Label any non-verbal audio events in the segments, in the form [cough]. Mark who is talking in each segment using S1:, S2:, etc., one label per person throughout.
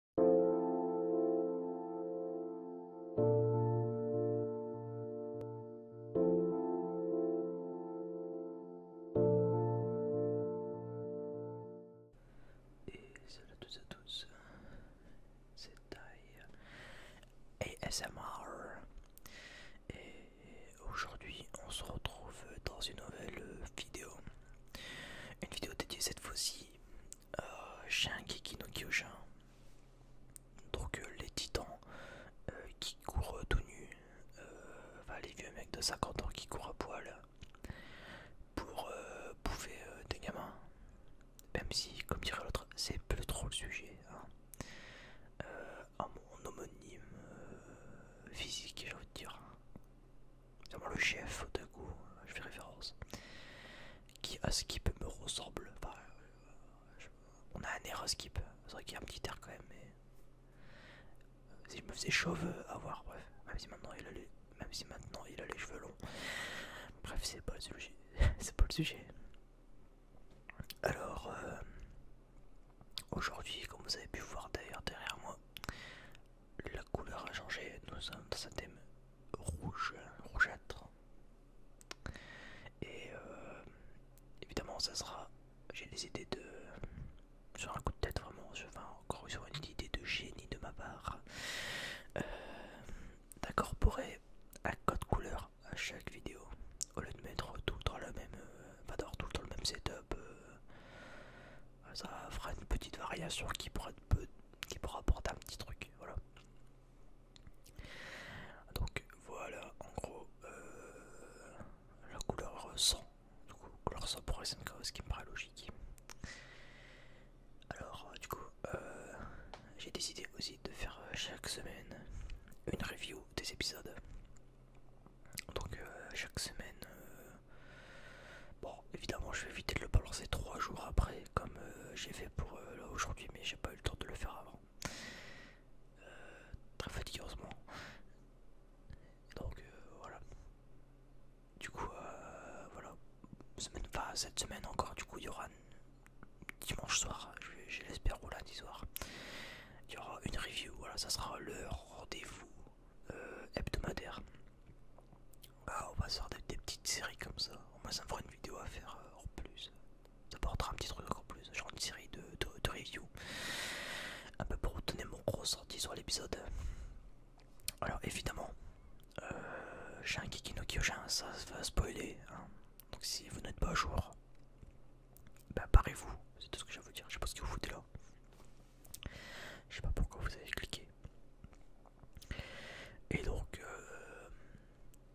S1: Et salut à tous et à tous, c'est et ASMR et aujourd'hui on se retrouve dans une nouvelle vidéo, une vidéo dédiée cette fois-ci chien euh, kikino, no Donc euh, les titans euh, qui courent tout nus, les vieux mecs de 50 ans qui courent à poil pour bouffer des gamins. Même si, comme dirait l'autre, c'est plus trop le sujet. à hein. mon homonyme physique, j'ai envie dire le chef d'un coup, euh, je fais référence, qui à Skip me ressemble. Enfin, euh, on a un air à Skip, c'est vrai qu'il y a un petit air quand même, mais si euh, je me faisais chauve à voir, bref, même si maintenant il a les, même si maintenant il a les cheveux longs, bref, c'est pas le sujet, [laughs] c'est pas le sujet. Alors, aujourd'hui, comme vous avez pu voir d'ailleurs derrière moi, la couleur a changé, nous sommes dans un thème rouge, rougeâtre. Et euh, évidemment, ça sera. J'ai des idées de. Sur un coup de tête, vraiment. encore sur une idée de génie de ma part. Euh, D'incorporer un code couleur à chaque vidéo. Au lieu de mettre tout dans le même. Pas euh, le tout dans le même setup. ça fera une petite variation qui pourrait être peu qui pourra apporter un petit truc, voilà. Donc voilà, en gros, euh, la couleur 100, du coup, couleur 100 pour ce qui me paraît logique. Alors, du coup, euh, j'ai décidé aussi de faire euh, chaque semaine une review des épisodes. Donc chaque semaine, bon, Évidemment, je vais éviter de le balancer trois jours après, comme euh, j'ai fait pour euh, aujourd'hui, mais j'ai pas eu le temps de le faire avant. Euh, très fatigueusement. Donc voilà. Du coup, voilà. cette semaine encore, du coup, il y aura dimanche soir, je, l'espère, ou lundi soir. Il y aura une review, voilà, ça sera le rendez-vous hebdomadaire bah, on va sortir des, petites séries comme ça. Au moins, ça me fera une vidéo à faire euh, en plus. Ça portera un petit truc en plus, genre une série de, de, review. Un peu pour vous mon gros sorti sur l'épisode. Alors, évidemment, euh, j'ai un Kikino Kyojin, ça va spoiler. Hein. Donc, si vous n'êtes pas au jour, bah, vous C'est tout ce que j'ai à vous dire. Je sais pas ce que vous foutez là. Je sais pas pourquoi vous avez cliqué. Et donc, euh,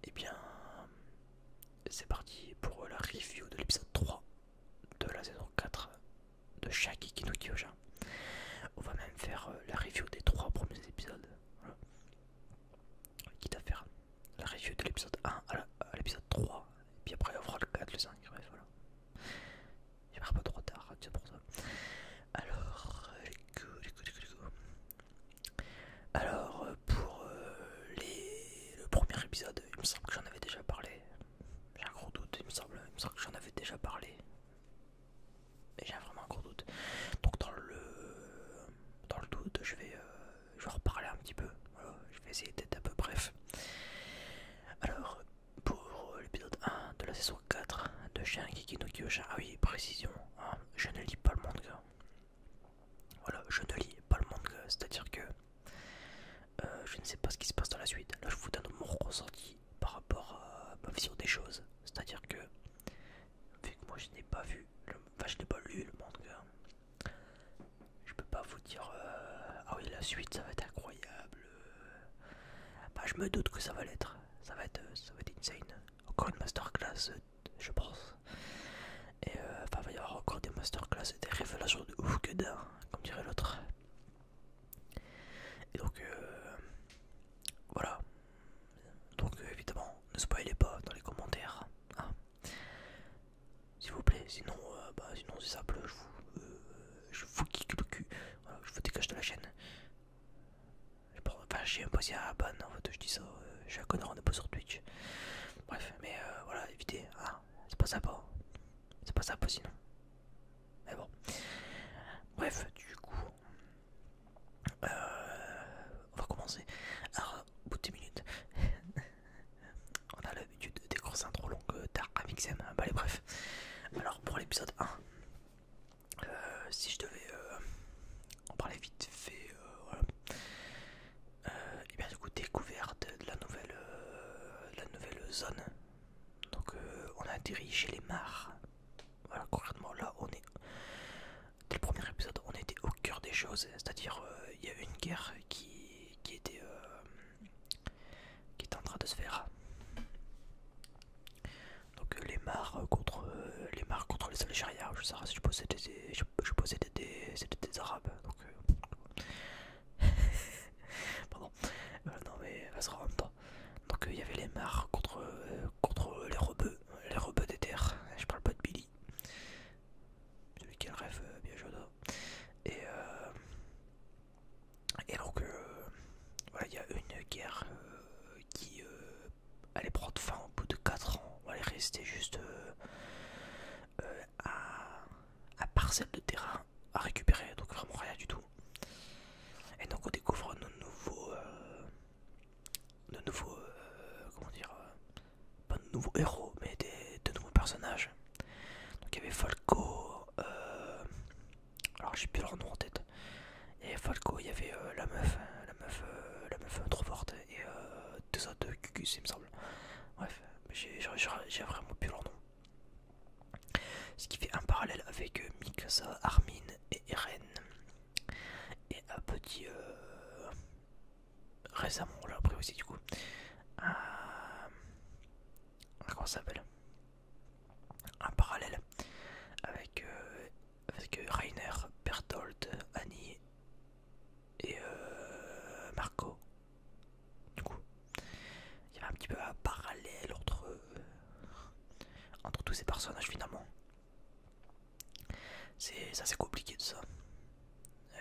S1: eh bien, c'est parti pour la review de l'épisode 3 de la saison 4 de Shaki Kino Kyojin. On va même faire euh, la review des 3 premiers épisodes. Voilà. Quitte à faire la review de l'épisode 1 à l'épisode 3, et puis après on fera le 4, le 5, bref voilà. pars pas trop tard, c'est pour ça. Alors, Alors, pour les... le premier épisode, il me semble que j'en avais déjà parlé. J'ai un gros doute, il me semble, que j'en avais déjà parlé. j'ai vraiment un gros doute. Donc, dans le, dans le doute, je vais, euh, reparler un petit peu. je vais essayer d'être un peu bref. Alors, pour l'épisode 1 de la saison 4 de chien Kiki no Ah oui, précision, hein, je ne lis pas le manga. Voilà, je ne lis pas le manga, c'est-à-dire que euh, je ne sais pas ce qui se passe dans la suite. Là, je vous donne mon ressenti par rapport à ma vision des choses. C'est-à-dire que, vu que moi je n'ai pas vu, enfin je n'ai pas lu le manga, je peux pas vous dire, euh, ah oui, la suite ça va être incroyable. Bah, je me doute que ça va l'être, ça, va être, ça va être insane encore une masterclass, je pense. Et euh, enfin, il va y avoir encore des masterclass et des révélations de ouf que d'un, comme dirait l'autre. Et donc, euh, voilà. Donc, euh, évidemment, ne spoilez pas dans les commentaires. Hein. S'il vous plaît, sinon, bah, sinon c'est simple, je vous, je vous kick le cul, je vous dégage de la chaîne. Enfin, je suis un si à bonne en fait, je dis ça. Euh, je suis un connard, on n'est pas sur Twitch. Bref, mais euh, voilà, évitez. Ah, c'est pas ça sympa. C'est pas sympa sinon. Mais bon. Bref, du coup. Euh, on va commencer. Alors, au bout de 10 minutes. [laughs] on a l'habitude des trop un trop tard à Sam. Bon, bref. Alors, pour l'épisode 1. Euh, si je devais euh, en parler vite fait, et euh, eh bien du coup découverte de la nouvelle, la nouvelle zone. Donc on a dirigé les mares. Voilà concrètement là on est. Dès le premier épisode on était au cœur des choses, c'est-à-dire il y a une guerre qui, qui était qui est en train de se faire. Donc euh, les mares euh, contre euh, les mares contre les Algériens, je sais pas si je posais des, je, des, Arabes. Donc [laughs] pardon. non mais ça Donc il y avait les mares contre contre les rebeux, les rebeux des terres. Je parle pas de Billy. Celui qui a le rêve bien j'adore. Hein. Et et donc voilà il y a une guerre qui est euh, prendre fin au bout de 4 ans, on aller rester juste euh, euh, à, à parcelle de terrain à récupérer, donc vraiment rien du tout. Et donc on découvre nos nouveaux, de nouveaux, comment dire, pas de nouveaux héros, mais des, de nouveaux personnages. Donc il y avait Falco, alors j'ai plus leur nom en tête, et Falco, il y avait euh, la meuf, euh, la meuf, euh, la meuf trop forte et euh, deux autres cucus, il me semble. Bref, j'ai vraiment pu leur nom. Ce qui fait un parallèle avec mix Mikasa, Armin et Eren. Et un petit. Euh, récemment, on l'a appris aussi du coup. un comment ça s'appelle Un parallèle avec euh, avec Rainer, Bertolt, Annie et euh, Marco. Du coup, il y a un petit peu un parallèle entre, euh, entre tous ces personnages finalement. C'est assez compliqué de ça.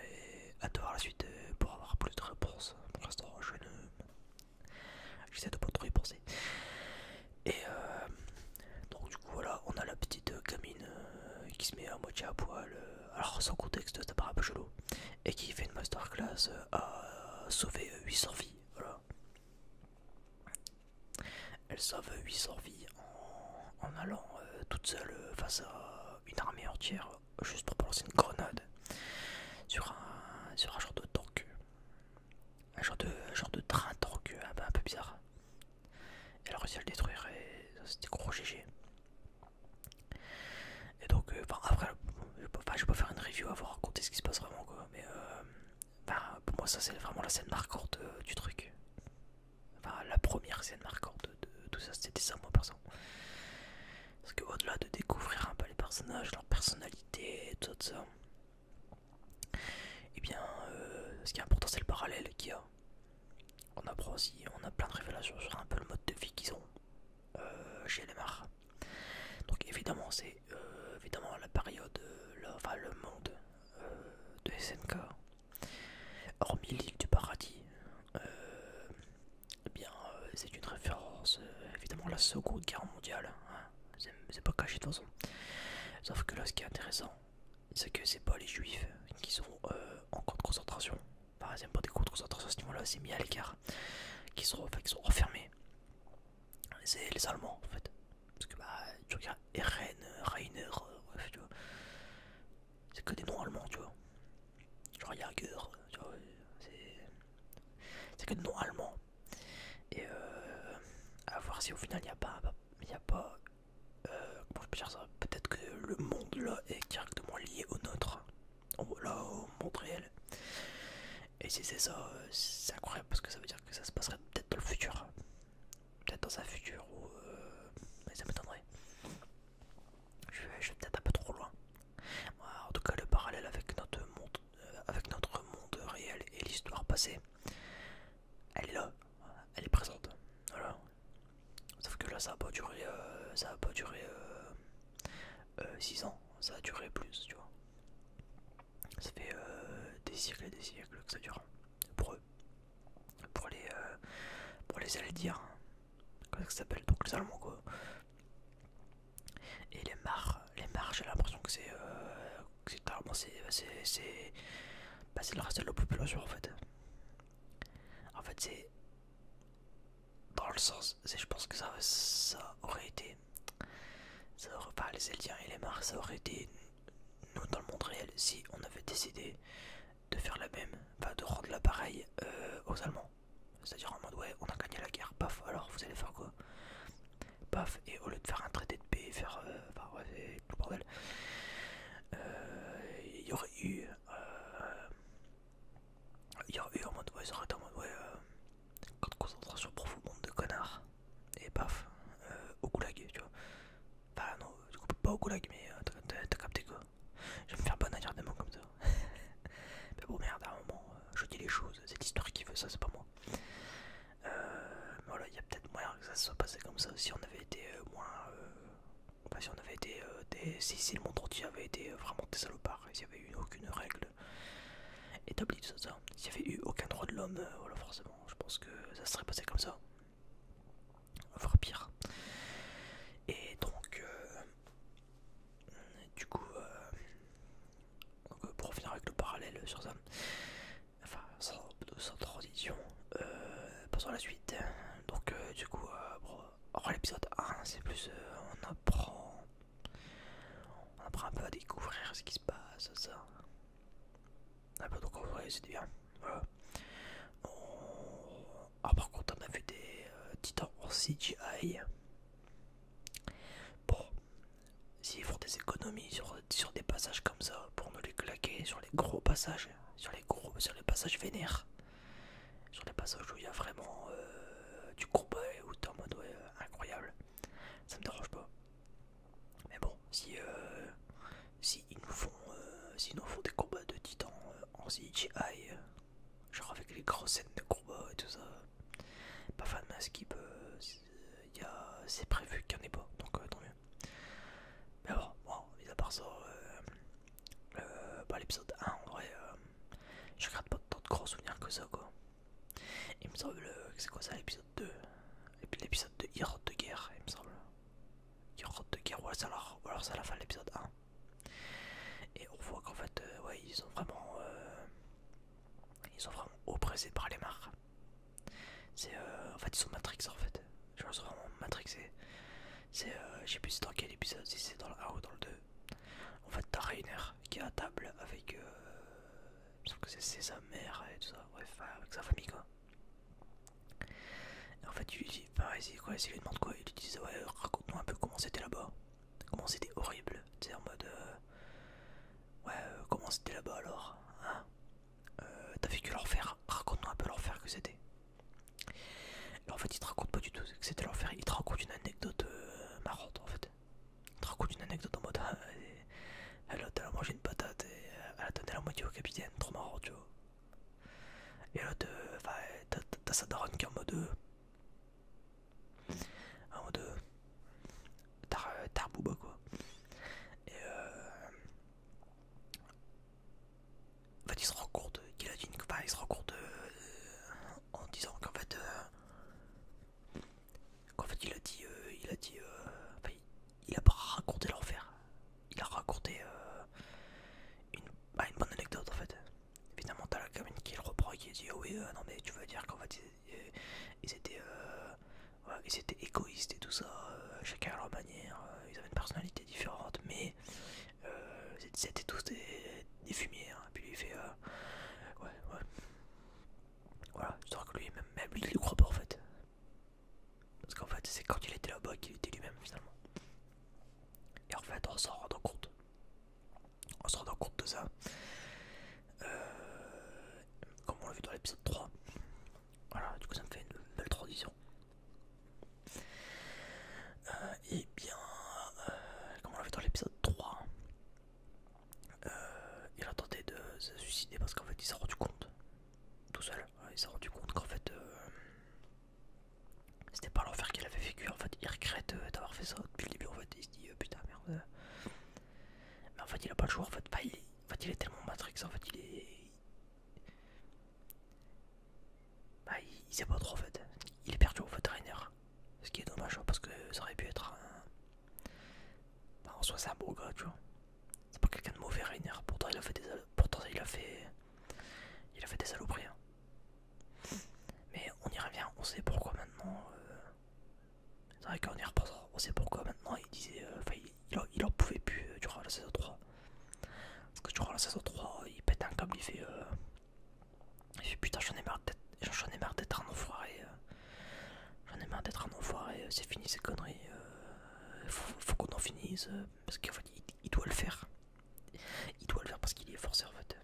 S1: Et à devoir la suite euh, pour avoir plus de réponses. Pour l'instant, je ne. J'essaie de pas trop y et euh, donc du coup voilà, on a la petite euh, gamine euh, qui se met à moitié à poil, alors sans contexte ça paraît un peu chelou, et qui fait une masterclass à sauver 800 vies, voilà. Elle sauve 800 vies en, allant toute seule face à une armée entière, juste pour balancer une grenade sur un, sur un genre de tank, un genre de, genre de train tank un peu bizarre. Elle a réussi à le détruire et c'était gros GG. Et donc, euh, enfin, après, je vais, pas, faire une review à vous raconter ce qui se passe vraiment quoi, mais euh, pour moi, ça c'est vraiment la scène marquante euh, du truc. Enfin, la première scène marquante de tout ça, c'était ça, moi perso. Parce que, au-delà de découvrir un peu les personnages, leur personnalité, tout ça, et eh bien, euh, ce qui est important, c'est le parallèle qu'il y a. On apprend aussi, on a plein de révélations sur un peu le mode de vie qu'ils ont euh, chez les mars. Donc évidemment, c'est euh, évidemment la période, enfin le monde de SNK, hormis l'île du paradis. eh bien, c'est une référence évidemment la Seconde Guerre mondiale. Hein. C'est pas caché de toute façon. Sauf que là, ce qui est intéressant, c'est que c'est pas les juifs qui sont euh, en camp de concentration, enfin c'est pas des camps de concentration à ce niveau-là, c'est mis à l'écart, qui sont, qui sont enfermés, c'est les Allemands en fait, parce que bah tu vois Eren, Rainer... tu vois, c'est que des noms allemands tu vois, genre yager tu vois, c'est que des noms allemands, et euh, à voir si au final il n'y a pas, il a pas euh, comment je peux dire ça Peut-être que le monde là est directement lié au nôtre, au monde réel. Et si c'est ça, euh, c'est incroyable parce que ça veut dire que ça se passerait peut-être dans le futur, peut-être dans un futur où euh, mais ça m'étonnerait. Je vais, je peut-être un peu trop loin. En tout cas, le parallèle avec notre monde, avec notre monde réel et l'histoire passée elle est là, elle est présente. Voilà. Sauf que là, ça a pas duré, euh, ça a pas duré 6 euh, euh, ans, ça a duré plus, tu vois. Ça fait des siècles et des siècles que ça dure pour eux, pour les, pour les aller dire, comment ça s'appelle, donc les Allemands Et les mares, les mares, j'ai l'impression que c'est bah, c'est le reste de la population en fait. En fait, c'est dans le sens, je pense que ça, aurait été, ça aurait, pas les Eldiens et les Mars, ça aurait été nous dans le monde réel si on avait décidé de faire la même, bah, de rendre l'appareil euh, aux Allemands. C'est-à-dire en mode ouais, on a gagné la guerre, paf, alors vous allez faire quoi Paf, et au lieu de faire un traité de paix, faire. Euh, euh, il y aurait eu. Euh, il y aurait eu en mode. Ouais, ça en mode. Ouais, euh, concentration profonde de connards. Et paf, euh, au goulag, tu vois. Bah non, pas au goulag, mais t'as capté quoi. Je vais me faire bonne à dire des mots comme ça. [laughs] mais bon, merde, à un moment, je dis les choses. C'est l'histoire qui veut ça, c'est pas moi. Euh, voilà, il y a peut-être moyen que ça se soit passé comme ça euh, euh, si on avait été moins. si on avait été. des, si, le monde avait été vraiment des salopards, s'il n'y avait eu aucune règle établie, tout ça, s'il n'y avait eu aucun droit de l'homme, voilà, forcément, je pense que ça serait passé comme ça. Voire pire. Et donc. du coup, donc pour finir avec le parallèle sur ça, enfin sans, transition euh, passons à la suite donc euh, du coup euh, l'épisode 1 c'est plus on apprend on apprend un peu à découvrir ce qui se passe ça un peu donc découvrir c'est bien ah, par contre on a vu des titans en CGI bon s'ils font des économies sur, sur des passages comme ça pour ne les claquer sur les gros passages sur les, sur les passages vénères, sur les passages où il y a vraiment euh, du combat et où t'es en mode euh, incroyable, ça me dérange pas. Mais bon, si, euh, si ils nous font, font des combats de titans en CGI, genre avec les grosses scènes de combat et tout ça, pas fan de ma skip, a c'est prévu qu'il n'y en ait pas, donc tant mieux. Mais bon, mis à part ça, euh, euh, bah, l'épisode 1, en vrai, euh, je garde pas tant de gros souvenirs que ça, quoi. Il me semble que c'est quoi ça, l'épisode 2 L'épisode 2, Hirot de guerre, il me semble. Hirot de guerre, ou alors, alors c'est à la fin de l'épisode 1. Et on voit qu'en fait, ouais, ils sont vraiment. ils sont vraiment oppressés par les marques. C'est euh, en fait ils sont Matrix en fait. Je pense vraiment matrixé. C'est euh, je sais plus dans quel épisode, si c'est dans le 1 ou dans le 2. En fait t'as Rainer qui est à table avec je euh, que c'est sa mère et tout ça, ouais avec sa famille quoi. en fait il lui dit il lui demande quoi, il lui dit ouais raconte-nous un peu comment c'était là-bas, comment c'était horrible, Tu sais en mode euh, ouais comment c'était là-bas alors, hein euh, t'as vécu l'enfer, raconte-nous un peu l'enfer que c'était. En fait, il te raconte pas du tout que c'était l'enfer, il te raconte une anecdote euh, marrante en fait. Il te raconte une anecdote en mode ah, elle, a mangé une patate et euh, elle a donné la moitié au capitaine, trop marrant, tu vois. Et l'autre, t'as sa daronne qui est en mode. En mode. tarbouba quoi. Et euh, en fait, il se rend qu'il a dit une. il se euh, en disant qu'en fait. Euh, qu'en fait, il a dit. Euh, il a dit. il a pas raconté l'enfer. Il a raconté bah, une, bonne anecdote en fait. Évidemment, t'as la commune qui le reprend et qui dit oh oui, non mais tu veux dire qu'en fait ils, étaient, égoïstes et tout ça, chacun à leur manière, ils avaient une personnalité différentes, mais euh, c'était tous des, fumiers. Hein. Puis il fait euh, ouais, ouais, voilà. Histoire que lui, même, même lui, il le croit pas en fait. Parce qu'en fait, c'est quand il était là-bas qu'il était lui-même finalement. Et en fait, on s'en rendant compte, on se rendant compte de ça, euh, comme on l'a vu dans l'épisode 3, voilà, du coup ça me fait une belle transition. et euh, eh bien, euh, comme on l'a vu dans l'épisode 3, euh, il a tenté de se suicider parce qu'en fait il s'est rendu compte, tout seul, hein, il s'est rendu compte qu'en fait c'était pas l'enfer qu'il avait vécu. En fait, il regrette d'avoir fait ça depuis le début. En fait, il se dit putain merde. Mais en fait, il a pas le choix. En fait, il, en fait, il est tellement matrix. En fait, il est, bah, il, sait pas trop en fait. Il est perdu au fait Rainer. Ce qui est dommage hein, parce que ça aurait pu être bah, en soi, c'est un beau gars, tu vois. C'est pas quelqu'un de mauvais, Rainer. Pourtant, il a fait des, il a fait... Il a fait des saloperies. Hein. Mais on y revient, on sait pourquoi maintenant. Euh, c'est vrai qu'on y repense, on sait pourquoi maintenant il disait. Euh, il, en, pouvait plus euh, durant la saison 3. Parce que durant la saison 3, il pète un câble, il fait, euh, il putain, j'en ai marre d'être j'en ai marre d'être un enfoiré. j'en ai marre d'être un enfoiré, euh. c'est fini ces conneries. faut, qu'on en finisse. parce qu'il doit le faire. Il doit le faire parce qu'il est forcé en fait.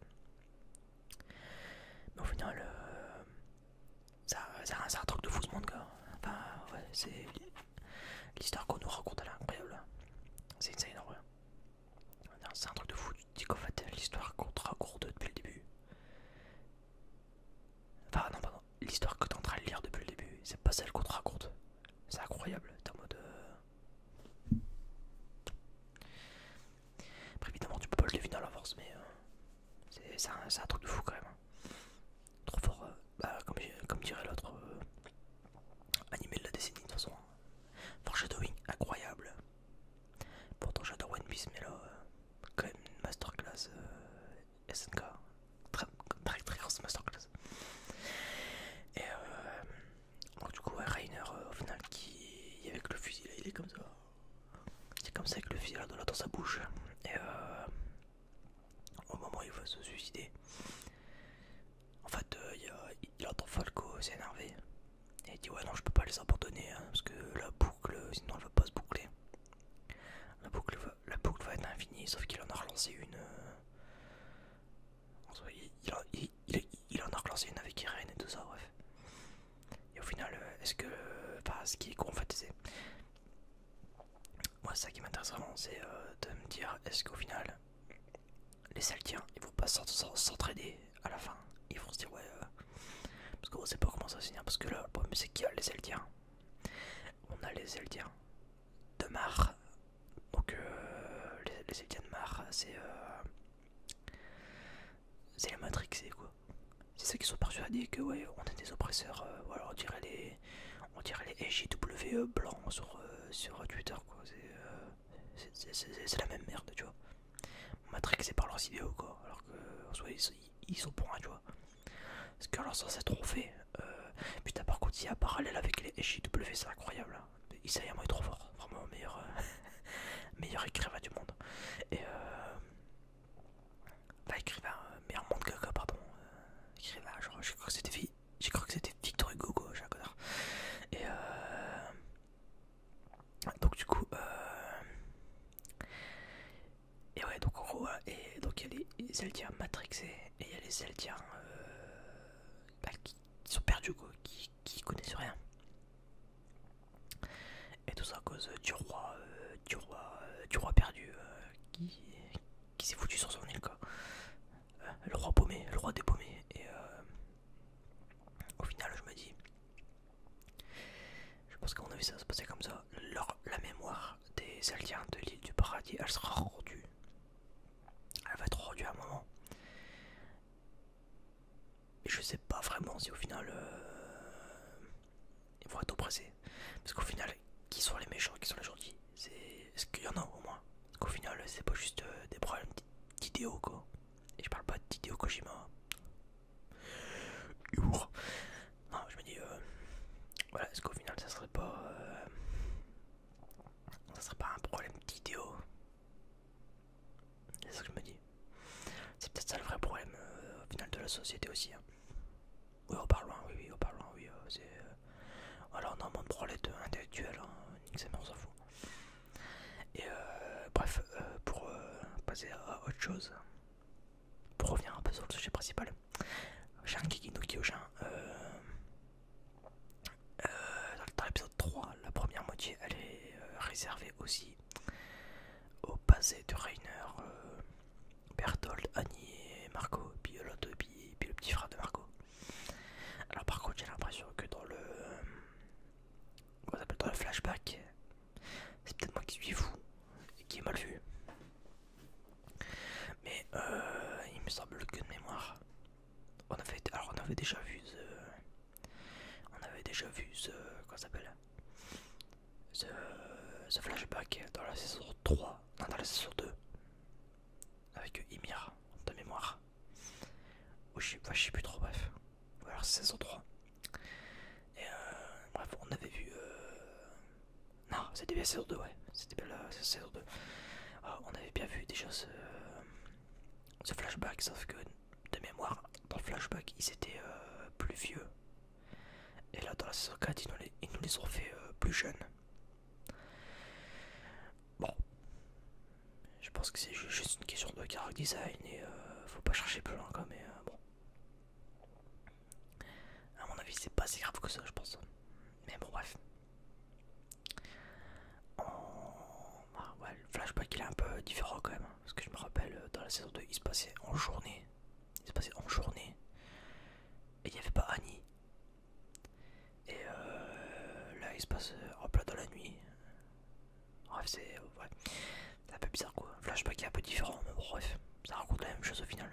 S1: Mais au final, ça, ça, c'est un truc de fou ce monde, Enfin, c'est L'histoire qu'on nous raconte, elle est incroyable. C'est énorme, C'est un truc de fou. Tu te dis qu'en fait, l'histoire qu'on te raconte depuis le début. Enfin, non, pardon. L'histoire que t'es en train de lire depuis le début, c'est pas celle qu'on te raconte. C'est incroyable. T'es en mode. Euh. évidemment, tu peux pas le deviner à force mais. Euh, c'est un truc de fou quand même. Trop fort, euh, bah, comme, dirait l'autre. Euh, animé de la décennie de toute façon. Foreshadowing, incroyable. Pourtant j'adore One Piece, mais là, euh, quand même une masterclass SNK. Très, très grosse masterclass. Et du coup, Rainer, au final, qui avec le fusil il est comme ça. C'est comme ça avec le fusil dans sa bouche au moment où il va se suicider. En fait, euh, il, a, entend Falco s'énerver et il dit Ouais, non, je peux pas les abandonner hein, parce que la boucle, sinon elle va pas se boucler. La boucle va, être infinie, sauf qu'il en a relancé une. Euh, il, en a relancé une avec Irene et tout ça, bref. Et au final, euh, est-ce que. Enfin, ce qui est con, en fait, c'est moi ça qui m'intéresse vraiment c'est euh, de me dire est-ce qu'au final les Celtiens ils vont pas s'entraider à la fin ils vont se dire ouais euh, parce qu'on sait pas comment ça va finir parce que là le problème c'est qu'il y a les Celtiens on a les Zeltiens de Mar donc euh, les, de Mar c'est c'est la Matrix c'est quoi c'est ça qui sont persuadés que ouais on est des oppresseurs ou alors on dirait les on dirait les SJW blancs euh, sur, Twitter, quoi. Euh, c'est la même merde, tu vois. c'est par leurs idéaux, quoi. Alors que, ils, sont pour un, tu vois. Parce que alors, ça, c'est trop fait. Euh, putain, par contre, il y a parallèle avec les SJW, c'est incroyable. Hein. est trop fort, vraiment meilleur, [laughs] meilleur écrivain du monde. Et euh, écrivain, meilleur monde quoi pardon. écrivain, genre, je crois que c'était j'ai cru que c'était Victor Hugo gauche à Et euh, donc du coup, euh, et ouais donc en gros, euh, et donc il y a les Zeldiens matrixés et il y a les Zeldiens bah, qui, sont perdus qui, qui connaissent rien. Et tout ça à cause du roi, du roi, du roi perdu qui, qui s'est foutu sur son île quoi. Euh, le roi paumé, le roi des paumés Et euh, au final je me dis, je pense qu'on a vu ça se passer comme ça. la mémoire des aliens de l'île du paradis, elle sera rendue. Elle va être rendue à un moment. je sais pas vraiment si au final euh, ils vont être oppressés. Parce qu'au final, qui sont les méchants, qui sont les gentils C'est ce qu'il y en a au moins parce qu'au final, c'est pas juste euh, des problèmes d'idéaux, quoi. Et je parle pas d'idéaux Kojima. Non, je me dis, euh, voilà, est-ce qu'au final, ça serait pas. Euh, ça serait pas un problème d'idéaux C'est ça que je me dis. C'est peut-être ça le vrai problème au final de la société aussi. Hein. Oui, au loin. oui, oui, au parlant, oui, c'est. Alors normalement on les deux individuels, hein, mais on s'en fout. Et euh, bref, euh, pour euh, passer à autre chose, pour revenir un peu sur le sujet principal, Jean Kikino Kiki dans l'épisode 3, la première moitié, elle est réservée aussi au passé de Rainer, Bertolt, Annie Marco, puis l'autre, puis le petit frère de Marco. Alors par contre j'ai l'impression que dans le... Comment dans le flashback, c'est peut-être moi qui suis fou et qui est mal vu. Mais euh, il me semble que de mémoire, on avait, alors on avait déjà vu, the, on avait déjà vu, ce comment s'appelle, ce flashback dans la saison 3, non dans la saison 2 avec Ymir de mémoire. Ou je sais, plus trop, bref. Ou alors saison 3. Et euh, bref, on avait vu. Euh... Non, c'était bien saison 2, ouais. C'était bien la saison 2. Ah, on avait bien vu déjà ce, ce flashback, sauf que de mémoire, dans le flashback, ils étaient euh, plus vieux. Et là, dans la saison 4, ils nous les, ont fait euh, plus jeunes. Bon, je pense que c'est juste une question de character design et euh, faut pas chercher plus loin mais euh, bon. À mon avis, c'est pas si grave que ça, je pense. Mais bon, bref. Ah, ouais, le flashback il est un peu différent quand même, hein, parce que je me rappelle euh, dans la saison 2, il se passait en journée. Il se passait en journée. Et il n'y avait pas Annie. Et euh, là, il se passe en euh, plein dans la nuit. Bref, c'est euh, ouais. un peu bizarre quoi. Flashback est un peu différent, mais bref, ça raconte la même chose au final.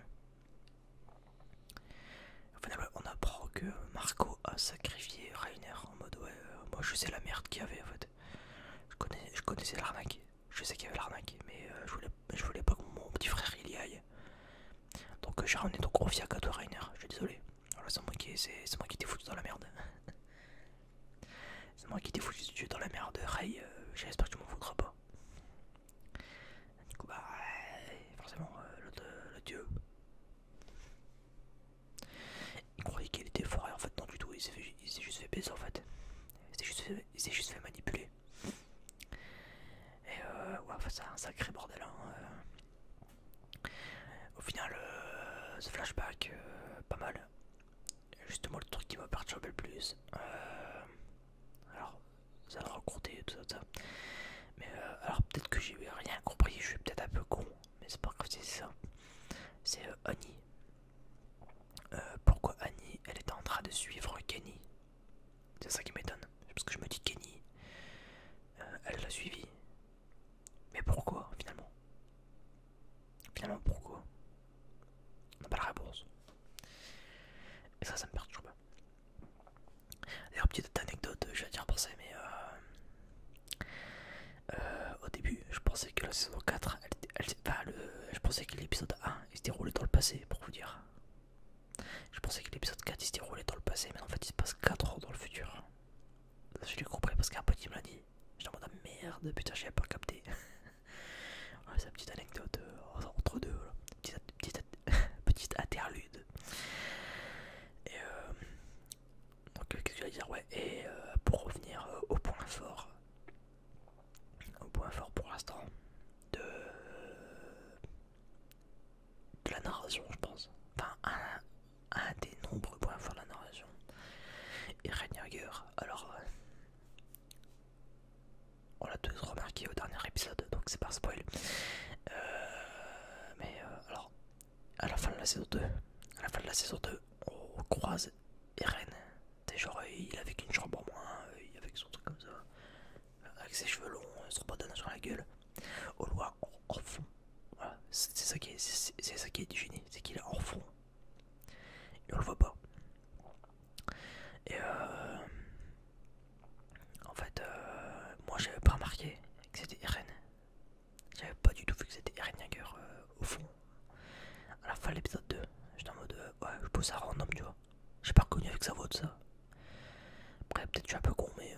S1: on apprend que Marco a sacrifié Rainer en mode ouais, moi je sais la merde qu'il y avait en fait. Je, connaissais l'arnaque, je sais qu'il y avait l'arnaque, mais je, voulais, pas que mon petit frère il y aille. Donc j'ai ramené ton gros à toi, Rainer, je suis désolé. Oh c'est moi qui c'est moi qui t'ai foutu dans la merde. [laughs] c'est moi qui t'ai foutu dans la merde. Ray, euh, j'espère que tu m'en voudras pas. Du coup, bah, forcément, euh, l'autre euh, le dieu. Il croyait qu'il était fort et en fait, non du tout, il s'est juste fait baiser en fait. Il s'est juste, fait, juste manipuler. Et euh, ouais, c'est un sacré bordel. Hein, au final, ce euh, flashback, euh, pas mal. Justement, le truc qui m'a perturbé le plus. Euh, alors, ça raconter tout ça, Mais alors, peut-être que j'ai rien compris, je suis peut-être un peu con, mais c'est pas grave c'est ça. C'est Annie. pourquoi Annie, elle est en train de suivre Kenny C'est ça qui m'étonne. Parce que je me dis Kenny, euh, elle l'a suivi. Mais pourquoi finalement Finalement pourquoi On n'a pas la réponse. Et ça, ça me perturbe. D'ailleurs, petite anecdote, je vais dire ça mais euh, euh, au début, je pensais que la saison 4, elle, le, je pensais que l'épisode 1 il se déroulait dans le passé, pour vous dire. Je pensais que l'épisode 4 il se déroulait dans le passé, mais en fait il se passe 4 ans dans le futur. Je l'ai compris parce qu'un petit me l'a dit. J'étais en mode ah, merde, putain, j'ai pas capté. c'est [laughs] petite anecdote euh, entre deux, [laughs] petite, interlude. Et euh, donc, je euh, vais dire Ouais, et pour revenir au point fort, au point fort pour l'instant de, de la narration, je pense. Enfin, un, des nombreux points forts de la narration. Et Reiniger, alors, euh, on l'a tous remarqué au dernier épisode, donc c'est pas spoil. Euh, mais euh, alors, à la fin de la saison 2, à la fin de la saison 2, on croise Irene T'es genre, il avait qu'une chambre en moins, il avait son truc comme ça, avec ses cheveux longs, son pantalon sur la gueule au voit fond. C'est ça qui est, du ça qui est génie, c'est qu'il est en fond. Et on le voit pas. Et euh, en fait, euh, moi j'avais pas remarqué que c'était Irene. J'avais pas du tout vu que c'était Irene Jagger euh, au fond. À la fin de l'épisode 2, j'étais en mode euh, ouais, je pose ça random, tu vois. J'ai pas reconnu avec sa voix de ça. Après, peut-être je suis un peu con, mais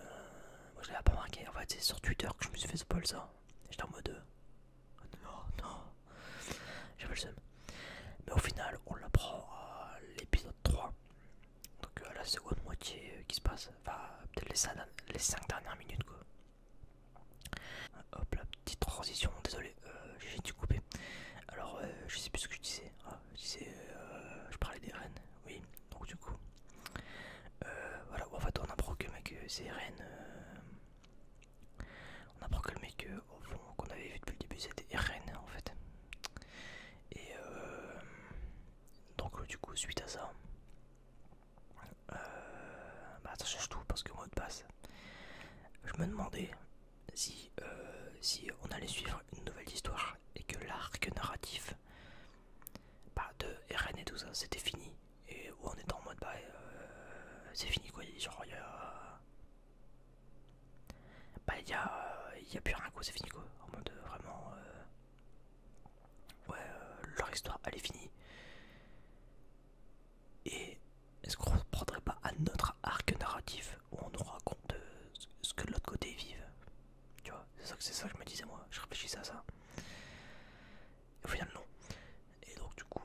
S1: moi je l'avais pas marqué. En fait, c'est sur Twitter que je me suis fait spoil ça. J'étais en mode. Euh, non, non. J'avais le seum. Mais au final, on l'apprend à l'épisode 3. Donc à euh, la seconde moitié euh, qui se passe. Enfin, peut-être les, 5 dernières minutes quoi. Hop, la petite transition, désolé, j'ai dû couper. Alors, je sais plus ce que je disais. Ah, je disais, je parlais des reines oui, donc du coup, euh, voilà, en fait, on apprend que euh, c'est RN. Euh, on apprend que le mec, au fond, qu'on avait vu depuis le début, c'était RN en fait. Et donc, du coup, suite à ça, bah, ça change tout parce que mot de passe, je me demandais si, si on allait suivre une nouvelle histoire et que l'arc narratif bah, de Rn et tout ça, c'était fini. Et où on était en mode, bah, euh, c'est fini quoi, genre, il y a. Bah, il y a, plus rien quoi, c'est fini quoi. En mode, vraiment. Euh, ouais, euh, leur histoire, elle est finie. Et est-ce qu'on ne prendrait pas un autre arc narratif où on nous raconte ce que l'autre côté vivent tu vois, c'est ça, que je me disais moi, je réfléchissais à ça. Et au final, non. Et donc, du coup,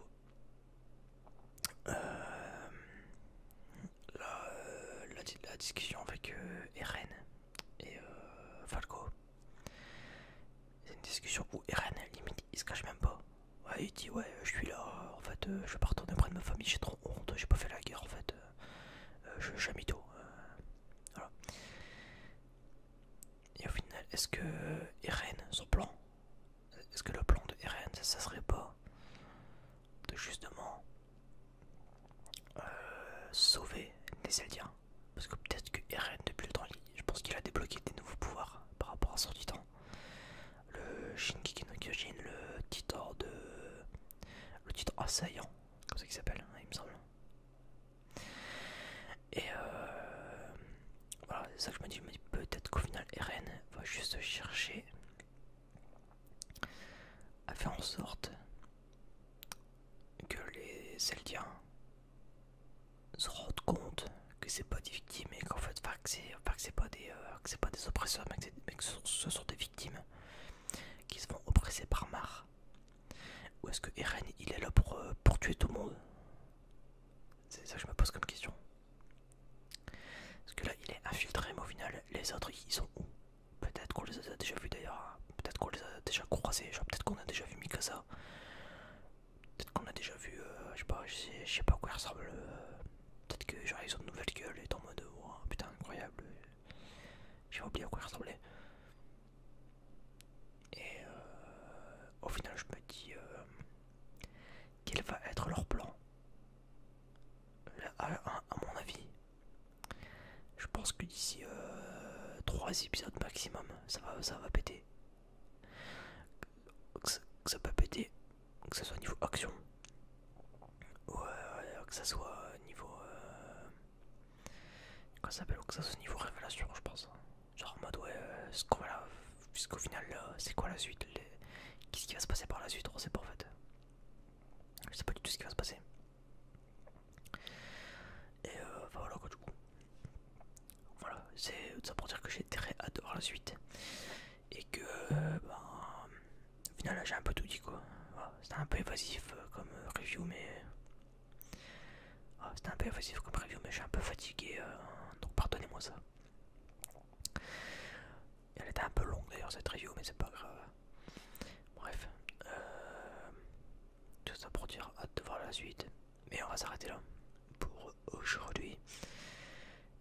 S1: euh, la, discussion avec euh, Eren et euh, Falco, c'est une discussion où Eren, limite, il se cache même pas. il dit ouais, je suis là, en fait, je vais pas retourner près de ma famille, j'ai trop honte, j'ai pas fait la guerre en fait, je un voilà. Et au final, est-ce que Eren, son plan, est-ce que le plan de Eren, ça, serait pas de justement euh, sauver les Eldiens Parce que peut-être que Eren, depuis le temps, je pense qu'il a débloqué des nouveaux pouvoirs par rapport à son titan. Le Shinkiki le titan de. le assaillant, comme ça qu'il s'appelle, hein, il me semble. Et euh, voilà, c'est ça que je me dis. Je me dis peut-être qu'au final, Eren va juste chercher à faire en sorte que les Zeldiens se rendent compte que c'est pas des victimes et qu'en fait, que c'est pas, euh, c'est pas des oppresseurs, mais que, ce, sont des victimes qui se font oppresser par Mar ou est-ce que Eren il est là pour, euh, tuer tout le monde C'est ça que je me pose comme question. Parce que là il est infiltré au final les autres ils sont où Peut-être qu'on les a déjà vus d'ailleurs, hein. peut-être qu'on les a déjà croisés, peut-être qu'on a déjà vu Mikasa. Peut-être qu'on a déjà vu, euh, je sais pas, je sais, pas à quoi il ressemble. Euh. peut-être que genre ils ont de nouvelles gueules et en mode oh, putain incroyable. J'ai oublié à quoi il ressemblait. Et euh, au final, je me dis euh, quel va être leur plan. À, mon avis, je pense que d'ici 3 euh, épisodes maximum, ça va, ça va péter. Que, ça peut péter, que ce soit niveau action, ou que ça soit niveau. Quoi ça s'appelle que ça niveau révélation je pense. Genre en mode ouais euh, ce qu'on là puisqu'au final c'est quoi la suite Qu'est-ce qui va se passer par la suite on sait pas en fait. Je sais pas du tout ce qui va se passer. Et euh, voilà quoi du coup. Voilà, c'est ça pour dire que j'ai très hâte la suite. Et que euh, ben, au final j'ai un peu tout dit quoi. C'est C'était un peu évasif comme review mais ah, c'était un peu facile comme review, mais je suis un peu fatigué, euh, donc pardonnez-moi ça. Elle était un peu longue d'ailleurs cette review, mais c'est pas grave. Bref, euh, tout ça pour dire hâte de voir la suite. Mais on va s'arrêter là pour aujourd'hui.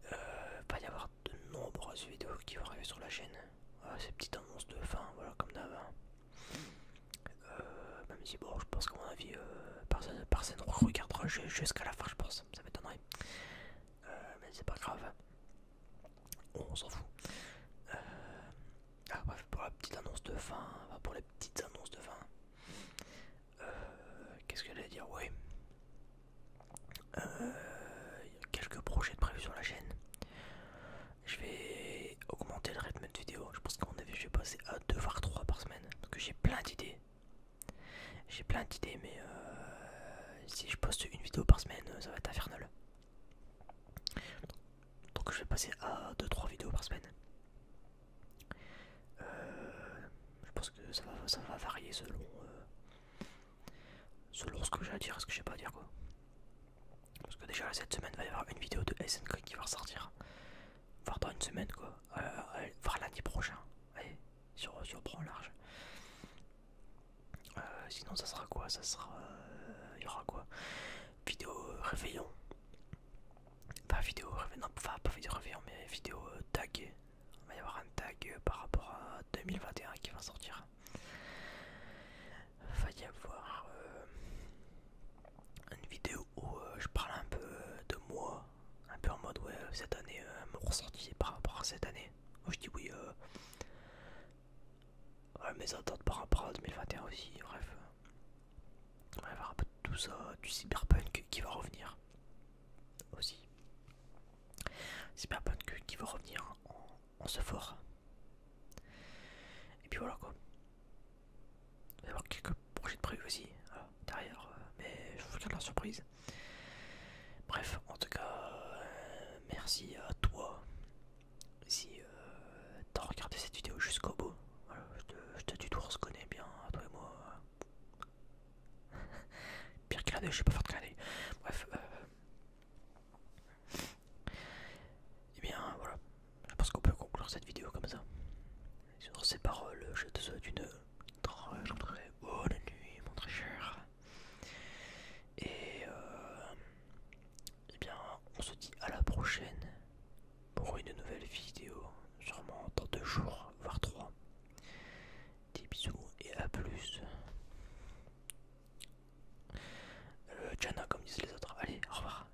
S1: Il euh, va y avoir de nombreuses vidéos qui vont arriver sur la chaîne. Ah, ces petites annonces de fin, voilà, comme d'avant. Euh, même si, bon, je pense qu'à mon avis, euh, personne, personne regardera jusqu'à la fin, je pense. Ça m'étonnerait. Euh, mais c'est pas grave. on s'en fout. Ah, pour la petite annonce de fin. pour les petites annonces de fin. Qu'est-ce que j'allais dire Oui. Il y a quelques projets de prévus sur la chaîne je vais augmenter le rythme de vidéo. Je pense qu'on avis je vais passer à 2 voire 3 par semaine. Donc j'ai plein d'idées. J'ai plein d'idées, mais euh, si je poste une vidéo par semaine, ça va être infernal. Donc je vais passer à 2-3 vidéos par semaine. Euh, je pense que ça va, ça va varier selon, euh, selon ce que j'ai à dire et ce que je j'ai pas à dire quoi. Parce que déjà cette semaine va y avoir une vidéo de SNK qui va ressortir. Voir dans une semaine quoi. voire euh, prochaine. lundi prochain. sur, sur prend large. Euh, sinon ça sera quoi Ça sera... Euh, il y aura quoi Vidéo réveillon. Pas vidéo réveillon. pas vidéo réveillon, mais vidéo tag. Il va y avoir un tag par rapport à 2021 qui va sortir. va y avoir une vidéo où euh, je parle un peu euh, de moi, un peu en mode ouais, euh, cette année, me mon par rapport à cette année. Où je dis oui, euh, mes attentes par rapport à 2021 aussi, bref. Bref, un peu tout ça, du cyberpunk qui va revenir aussi. Cyberpunk qui va revenir en, en ce fort. Et puis voilà quoi. Il va y avoir quelques projets de prévu aussi hein, derrière, euh, mais je vous garde la surprise. Bref, en tout cas, euh, merci à toi si euh, t'as regardé cette vidéo jusqu'au bout. je te, dis te on se connaît bien, hein, toi et moi. [laughs] Pire que je sais pas faire de Bref, eh et bien voilà, parce qu'on peut conclure cette vidéo comme ça. Sur ces paroles, je te souhaite une très bonne nuit, mon très cher. Et, euh, eh bien, on se dit à la prochaine pour une nouvelle vidéo, sûrement dans deux jours, voire trois. Des bisous et à plus. Euh, Jana, comme disent les autres. Allez, au revoir.